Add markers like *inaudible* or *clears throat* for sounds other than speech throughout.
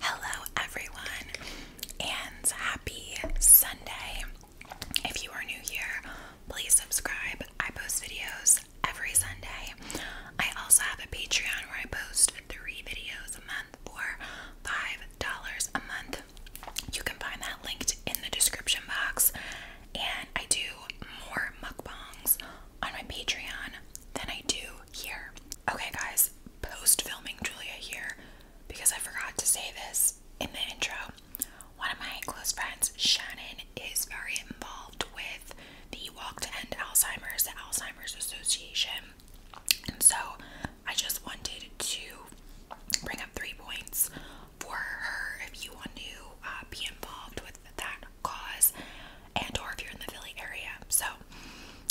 Hello, everyone, and happy Sunday. If you are new here, please subscribe. I post videos every Sunday. I also have a Patreon where I post three videos a month for $5 a month. You can find that linked in the description box. And I do more mukbangs on my Patreon than I do here. Okay, guys, post filming Julia here because I forgot to say this in the intro. One of my close friends, Shannon, is very involved with the Walk to End Alzheimer's, Alzheimer's Association. And so I just wanted to bring up three points for her if you want to uh, be involved with that cause and or if you're in the Philly area. So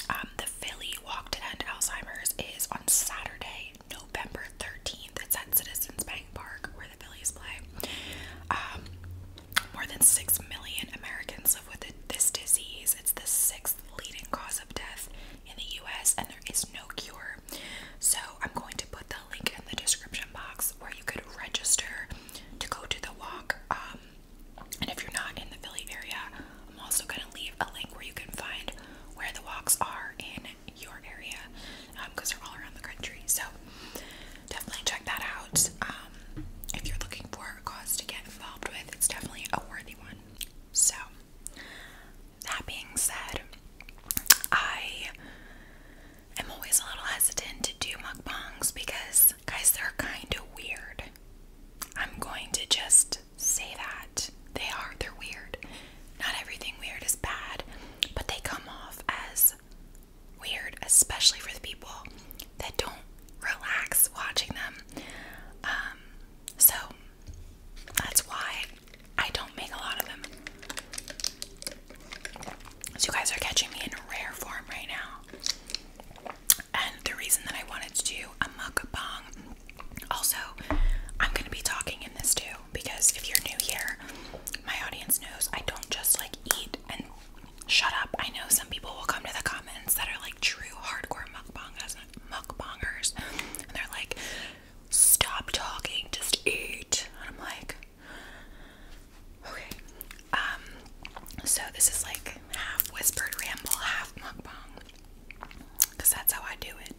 um, the Philly Walk to End Alzheimer's is on Saturday, November 13th. It's at Citizens Bank Park where the Phillies play. Um, more than 6 million Americans live with this disease. It's the sixth leading cause of death in the US and there is no cure. So I'm going to put the link in the description box where you could register to go to the walk. Um, and if you're not in the Philly area, I'm also going to leave a link where you can find where the walks are in your area because um, they're all around the country. So definitely check that out. Um, if you're looking for a cause to get involved with, it's definitely a worthy one. So, that being said, I I'm always a little hesitant to do mukbangs because, guys, they're kind of weird. I'm going to just say that. They are, they're weird. Not everything weird is bad, but they come off as weird, especially for the people that don't relax watching them. Um, so that's why I don't make a lot of them. So, you guys are catching me in a rare form right now. And the reason that I wanted to do a mukbang, also, I'm gonna be talking in this too because if you're new here, my audience knows I don't just like eat and shut up. I know some people will come to the comments that are like true hardcore mukbangers, mukbangers, and they're like, "Stop talking, just eat." And I'm like, Okay. Um, so this is like half whispered ramble, half mukbang. Because that's how I do it.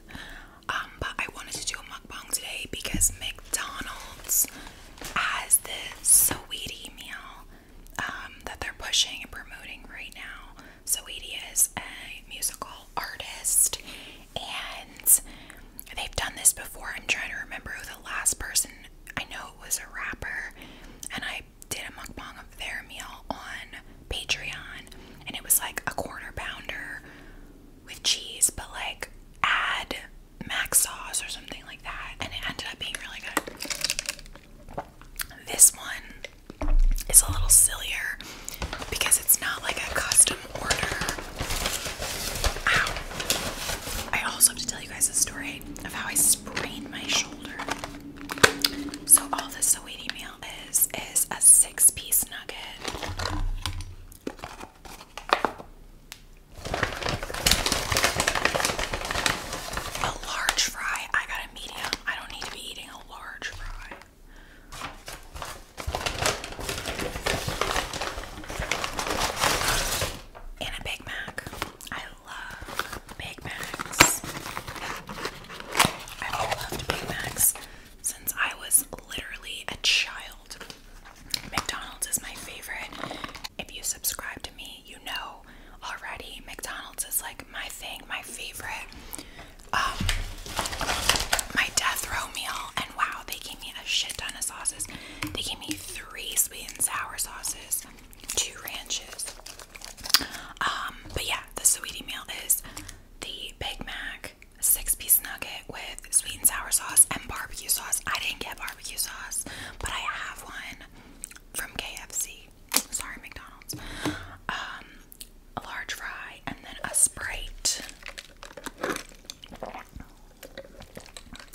Um, but I wanted to do a mukbang today because McDonald's has this sweetie meal um, that they're pushing and promoting right now. Saweetie is a musical artist and they've done this before. I'm trying to remember who the last person I know it was a rapper, and I did a mukbang of their meal on Patreon, and it was like a quarter pounder with cheese, but like add mac sauce or something like that, and it ended up being really good. This one is a little sillier because it's not like a custom order. I also have to tell you guys a story. Of how I sprained my shoulder. So all this Saweetie meal is is a six-piece nugget. A large fry. I got a medium. I don't need to be eating a large fry. And a Big Mac love Big Macs. I've loved Big Macs since I was literally a child. McDonald's is my favorite. If you subscribe to me, you know already McDonald's is like my thing, my favorite. Um, my death row meal, and wow, they gave me a shit ton of sauces. They gave me three sweet and sour sauces two ranches. Um, but yeah, the sweetie meal is the Big Mac six piece nugget with sweet and sour sauce and barbecue sauce. I didn't get barbecue sauce, but I have one from KFC. Sorry, McDonald's. Um, a large fry and then a Sprite.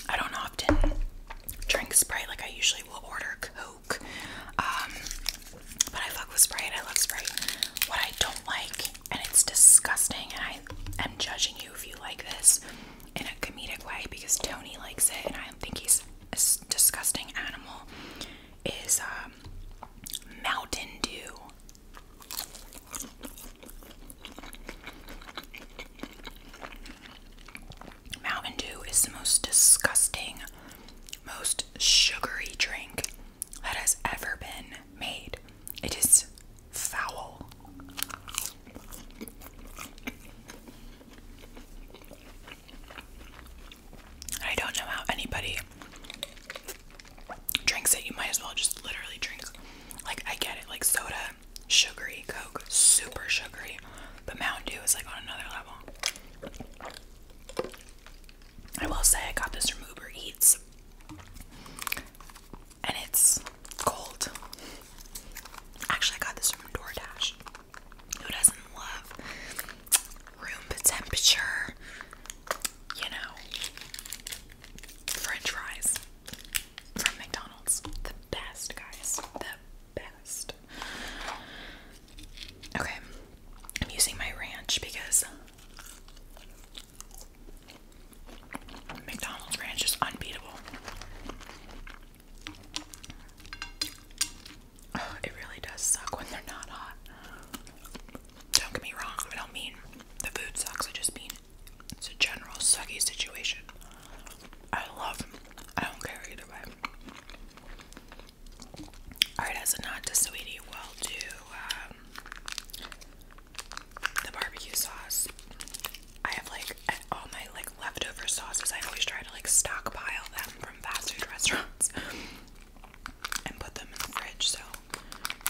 I don't often drink Sprite like I usually usually will order Coke. Um, but I fuck with Sprite. I love Sprite. What I don't like, and it's disgusting, and I am judging you if you like this in a comedic way because Tony likes it, and I think he's a disgusting animal, is um, Mountain Dew. Mountain Dew is the most disgusting, most sugary drink that has ever been made. It is foul. I don't know how anybody drinks it. You might as well just literally drink. Like, I get it. Like, soda, sugary, Coke, super sugary great. Mountain Dew is like on another level. I will say I got this from Uber Eats. And it's cold. Actually, I got this from DoorDash. Who doesn't love room temperature, you know, french fries from McDonald's? The best, guys. The best. Okay, I'm using my ranch because McDonald's ranch is unbeatable. it really does suck when they're not hot. Don't get me wrong, I don't mean the food sucks, I just mean it's a general sucky situation. I love, I don't care either way. Alright, as a nod to sweetie, we'll do um, the barbecue sauce. I have like all my like leftover sauces. I always try to like stockpile them from fast food *laughs* restaurants and put them in the fridge. So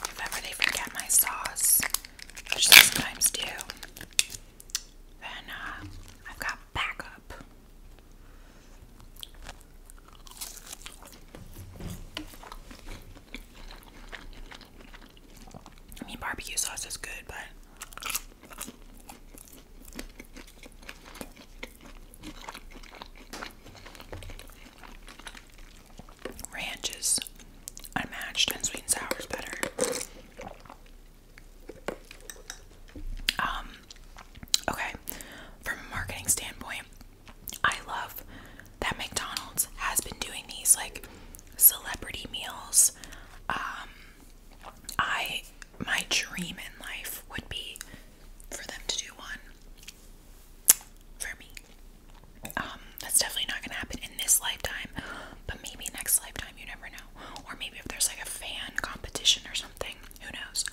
if ever they forget my sauce, which they sometimes do, then uh, I've got backup. I mean, barbecue sauce is good, but ranch is unmatched, and sweet and sour is better. Um, okay, from a marketing standpoint, I love that McDonald's has been doing these like celebrity meals. Um, I my dream in life would be for them to do one for me. Um, that's definitely not gonna happen in this lifetime, but maybe next lifetime, you never know. Or maybe if there's like a fan competition or something something. Who knows?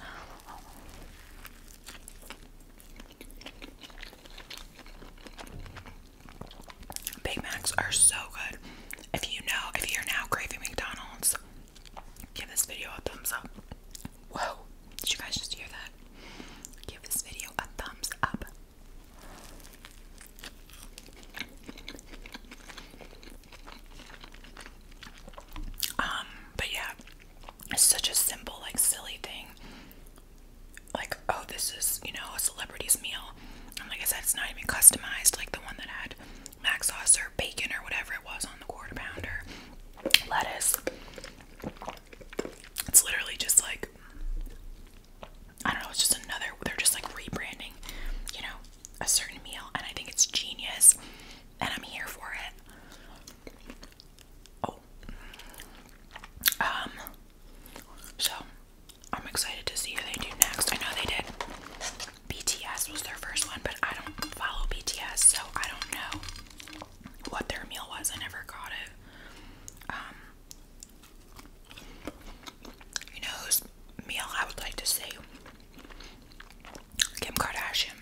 Big Macs are so good. If you know, if you're now craving McDonald's, give this video a thumbs up. Whoa, did you guys just hear that? Give this video a thumbs up. Um, but yeah, it's such a simple, like silly thing. Like, oh, this is, you know, a celebrity's meal. And like I said, it's not even customized, like the one that had mac sauce or bacon or whatever it was on the quarter pounder. Lettuce. It's literally just like I don't know, it's just another they're just like rebranding, you know, a certain meal, and I think it's genius, and I'm here for it. Oh, um, so I'm excited to see who they do next. I know they did BTS was their first one, but I don't follow BTS, so I don't know what their meal was. I never got it. Um, you know whose meal I would like to see Kim Kardashian.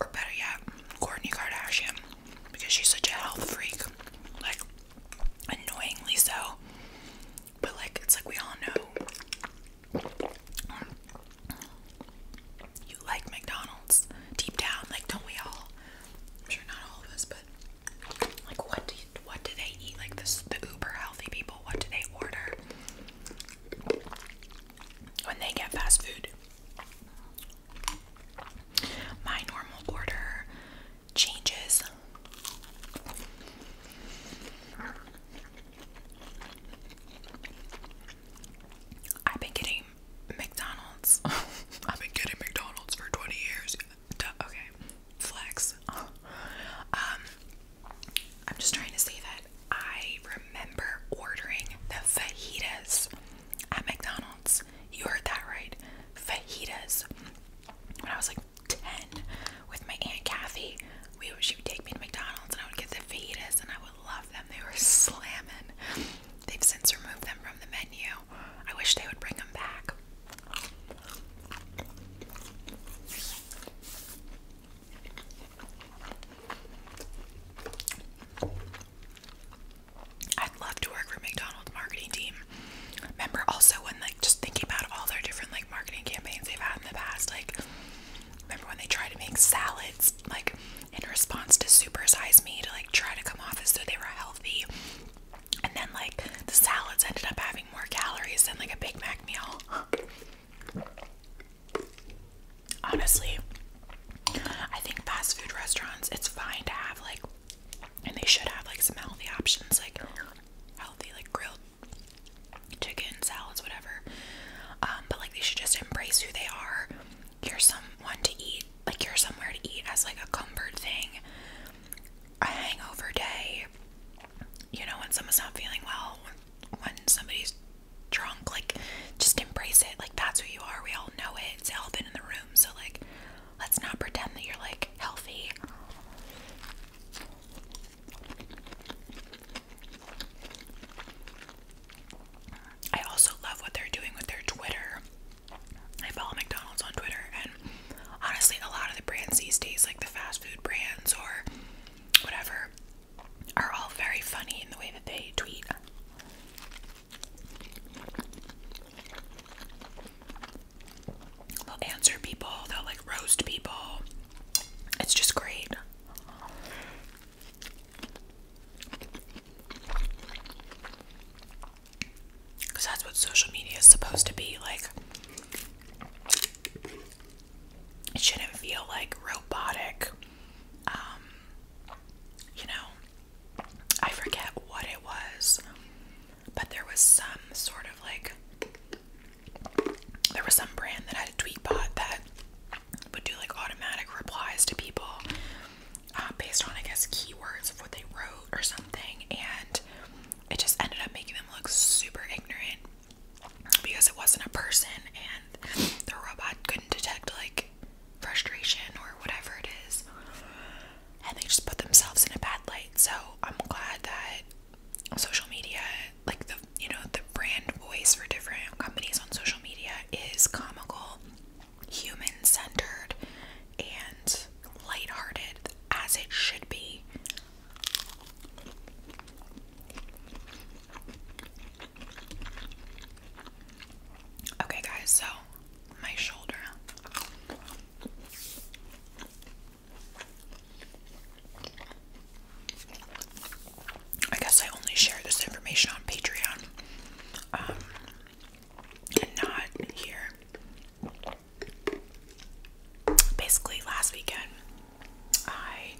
Or better yet, Kourtney Kardashian. Because she's such a health freak. Like, annoyingly so. But, like, it's like we all know. You like McDonald's deep down. Like, don't we all? sure not all of us, but like, what do you what do they eat? Like this, the uber healthy people, what do they order when they get fast food? My normal order changes. I've been getting McDonald's. *laughs* I've been getting McDonald's for 20 years. okay, flex. *laughs* um, I'm just trying to say that I remember ordering the fajitas at McDonald's. You heard that right. Fajitas. When I was like 10 with my Aunt Kathy, we she would take me to McDonald's and I would get the fajitas and I would love them. They were *laughs* slamming. They've since removed them from the menu. I wish they would bring them back. I'd love to work for McDonald's marketing team. Remember also when like just thinking about all their different like marketing campaigns they've had in the past, like remember when they tried to make salads like in response to supersize me to like try to come off as though they were healthy. And then like the salads ended up having more calories than like a Big Mac meal. Honestly, I think fast food restaurants, it's fine to have like, and they should have like some healthy options, like healthy, like grilled chicken, salads, whatever. Um, but like, they should just embrace who they are. You're someone to eat, like, you're somewhere to eat as like a comfort thing, a hangover day, you know, when someone's not feeling well, when somebody's drunk, like just embrace it. Like that's who you are. We all know it. It's elephant in the room. So like let's not pretend that you're like healthy. I also love what they're doing with their Twitter. I follow McDonald's on Twitter and honestly a lot of the brands these days like the fast food brands or whatever, are all very funny in the way that they tweet. They'll answer people, they'll like roast people. It's just great. Because that's what social media is supposed to be like it shouldn't feel like robotic. Um, you know, I forget what it was, but there was some sort of like, there was some brand that had a tweet bot that would do like automatic replies to people um, based on, I guess, keywords of what they wrote or something, and it just ended up making them look super ignorant because it wasn't a person and the robot couldn't detect like frustration or whatever it is. And they just put themselves in a bad light. So I'm glad that social media, like the you know, the brand voice for different companies on social media is comical, human centered, and lighthearted as it should be. Okay, guys, so my shoulder. I guess I only share this information on Patreon um, and not here. Basically, last weekend, I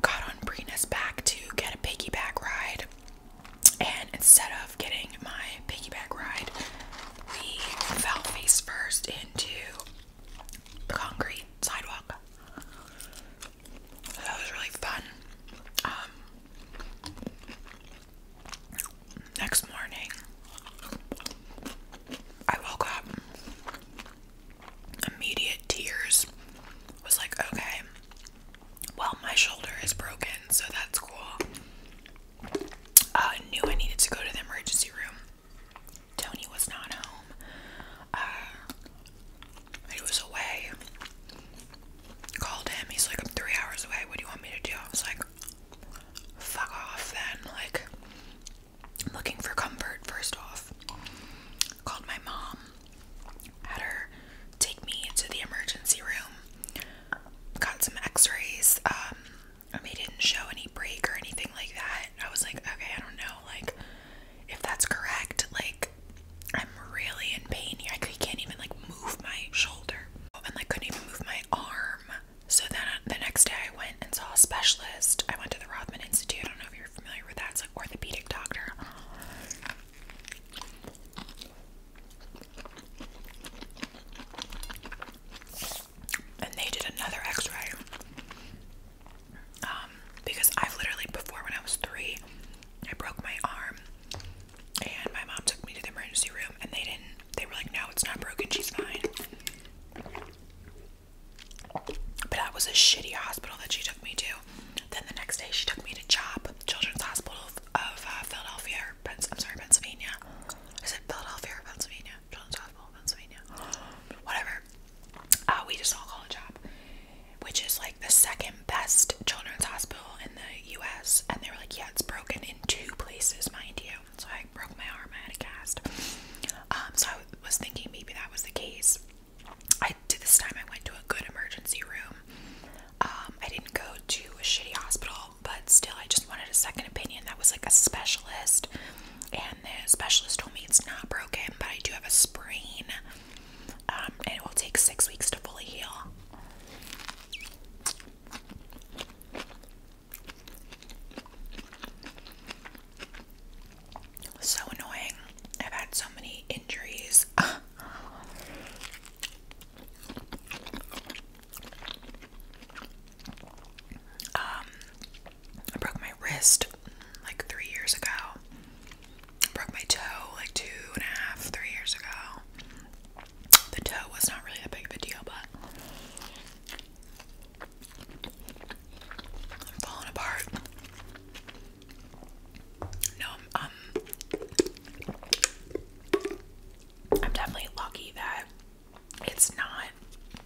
got on Brina's back to get a piggyback ride, and instead of getting my piggyback ride, we fell face first into the concrete sidewalk. that was really fun. Um, next morning, I woke up immediate tears was like, okay, well, my shoulder is broken, so that's cool. Uh, I knew I needed to go to the emergency room. Tony was not home. Uh, he was away. Called him. He's like, I'm three hours away. What do you want me to do? I was like, fuck off then. Like, looking for comfort first off. Called my mom, had her take me to the emergency room, got some x rays. Um, they didn't show any break or anything like that. I was like, okay, I don't know, like, if that's correct, like, I'm really in pain here. I can't even, like, move my shoulder. And, like, couldn't even move my arm. So then uh, the next day I went and saw a specialist. I went to the Rothman Institute. I don't know if you you're familiar with that. It's like orthopedic doctor. And they did another X-ray. Um, because I've literally before when I was three, I broke my arm, and my mom took me to the emergency room, and they didn't. They were like, "No, it's not broken. She's fine." But that was a shitty hospital that she took me to. Then the next day, she took me to CHOP, Children's Hospital of, uh, Philadelphia, I'm sorry, Pennsylvania. Is it Philadelphia Pennsylvania? Children's Hospital, Pennsylvania. Whatever. Uh, we just all call it CHOP, which is like the second best children's hospital in the U.S. And they were like, yeah, it's broken in two places, mind you. So I broke my arm. I had a cast. Um, so I was thinking maybe that was the case. I to this time I went to a good emergency room. Um, I didn't go to a shitty hospital, but still I just wanted a second opinion that was like a specialist. And the specialist told me it's not broken, but I do have a sprain. Um, and it will take six weeks to fully heal. So annoying. I've had so many injuries. *laughs* Um, I broke my wrist like three years ago. I broke my toe like two and a half, three years ago. The toe was not really a big of a deal, but I'm falling apart. No, um, um, I'm definitely lucky that it's not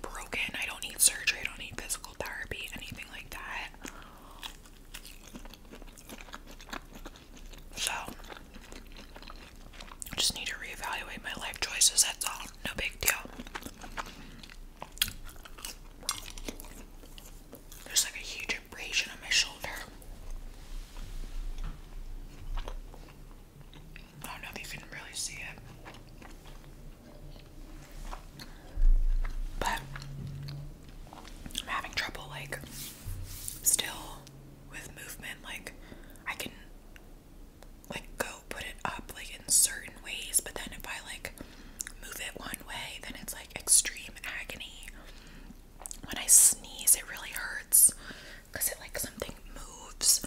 broken. I don't need surgery. I don't need physical therapy, anything like that. So, just need to reevaluate my life choices. That's all. No big deal. There's like a huge abrasion on my shoulder. I don't know if you can really see it. But I'm having trouble like still with movement. Like I can like go put it up like in certain ways, but then if I like move it one way, then it's like extreme agony. When I sneeze, it really hurts because it like something moves.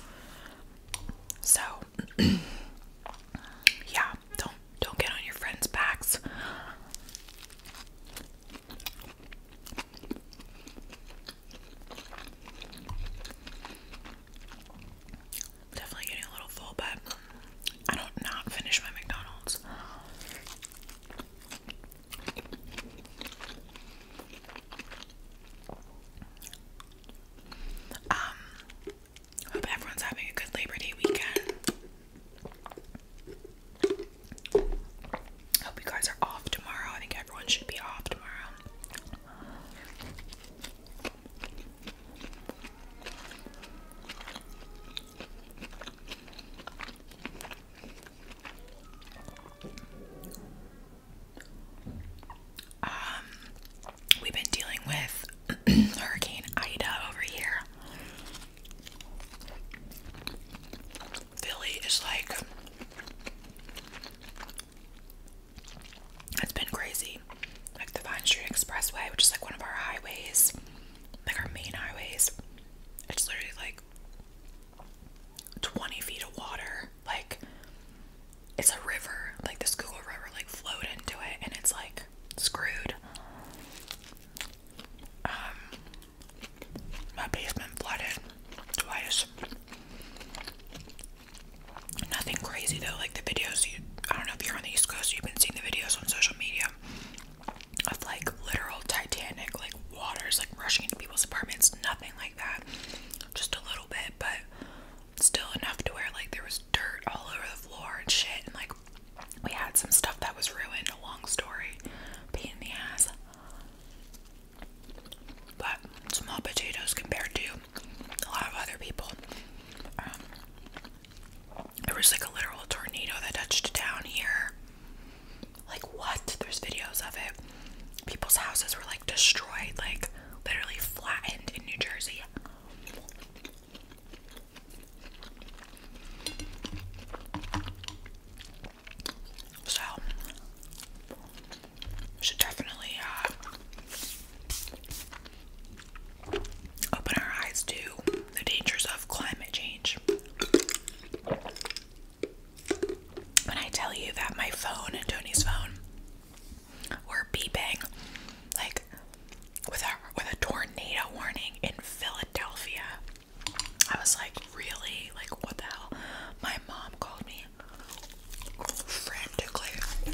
So *clears throat* yeah, don't don't get on your friends' backs. I'm definitely getting a little full, but I don't not finish my McDonald's. Um, hope everyone's having a good Labor Day weekend. Hope you guys are off tomorrow. I think everyone should be off tomorrow. Um, we've been dealing with *clears throat* Hurricane Ida over here. Philly is like, it's been crazy. Like the Vine Street Expressway, which is like one of our highways, like our main highways. It's literally like 20 feet of water. Like it's a river. Like the Google River like flowed into it and it's like screwed. Um my basement flooded twice. Nothing crazy though, like the videos I don't know if you're on the East Coast, you've been seeing the videos on social media of like literal Titanic, like waters like rushing into people's apartments, nothing like that. Just a little bit, but still enough to where like there was dirt all over the floor and shit and like we had some stuff that was ruined, a long story. Pain in the ass. But small potatoes compared to a lot of other people. Um, there was like a literal tornado that touched down here. Like, what? There's videos of it. People's houses were like destroyed, like literally flattened in New Jersey. So, should definitely uh, Open our eyes to the dangers of climate change. When I tell you that my phone and Tony's phone were beeping like with a with a tornado warning in Philadelphia, I was like, really? Like what the hell? My mom called me frantically.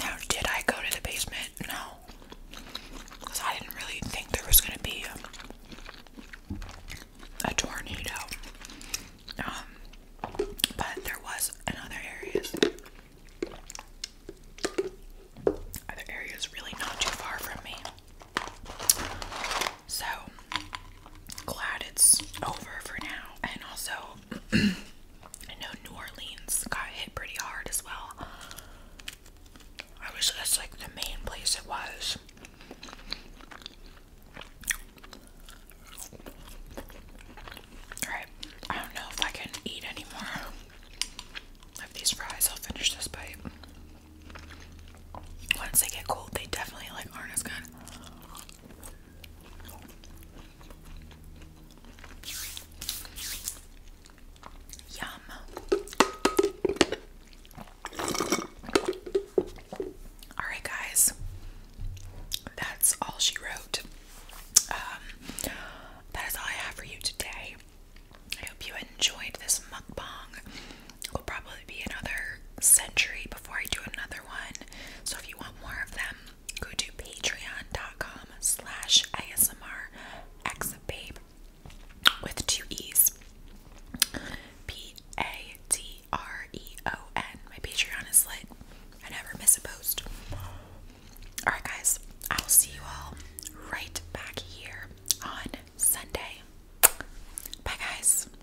Now, did I go to the basement? No. Because I didn't really think there was going to be a, tornado. Um, but there was in other areas. Other really not too far from me. So glad it's over for now. And also, *clears throat* I know New Orleans got hit pretty hard as well. I wish that's like the main place it was. Alright, I don't know if I can eat anymore of these fries. I'll finish this bite. Once they get cold, they definitely like aren't as good. Yum. Alright, guys, that's all she wrote. Um, that is all I have for you today. I hope you enjoyed this mukbang will probably be another century before I do another one. So if you want more of them, go to patreon.com slash ASMR with two E's. P A T R E O N. My Patreon is lit. I never miss a post. Alright guys, I will see you all right back here on Sunday. Bye guys.